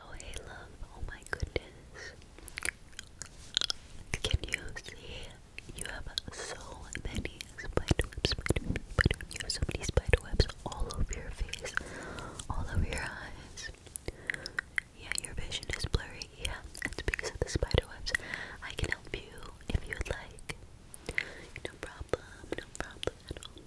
Oh hey love, oh my goodness. Can you see? You have so many spider webs, You have so many spider webs all over your face, all over your eyes. Yeah, your vision is blurry. Yeah, that's because of the spider webs. I can help you if you'd like. No problem, no problem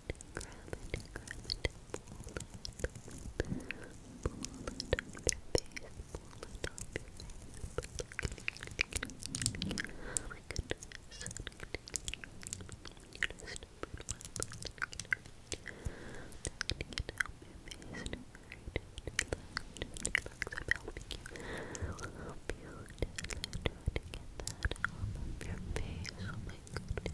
it, grab it, grab it, pull it, pull it off your face, pull it off your face. Oh my goodness. You just put one taking it off your face relax, I'm helping you I'll help you to try to get that off of your face, oh my goodness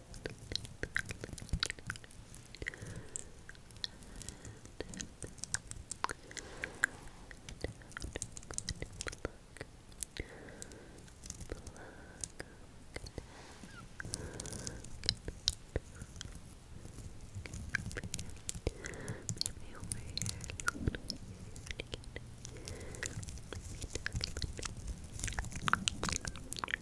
Maybe over here. Maybe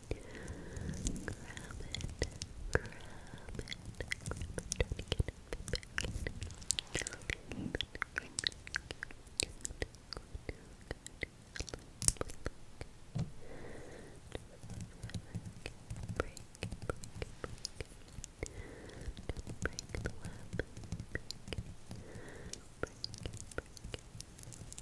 Grab it, grab it, grab it, get it back in. Break, break, break. Break the web. Break, break, break. Break, break, break.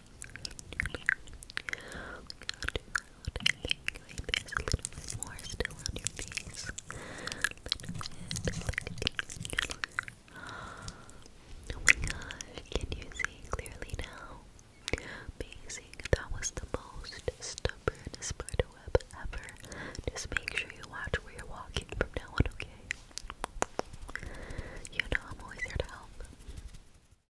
bit Oh my gosh, can you see clearly now? Amazing. That was the most stubborn spider ever. Just make sure you watch where you're walking from now on, okay? You know I'm always here to help.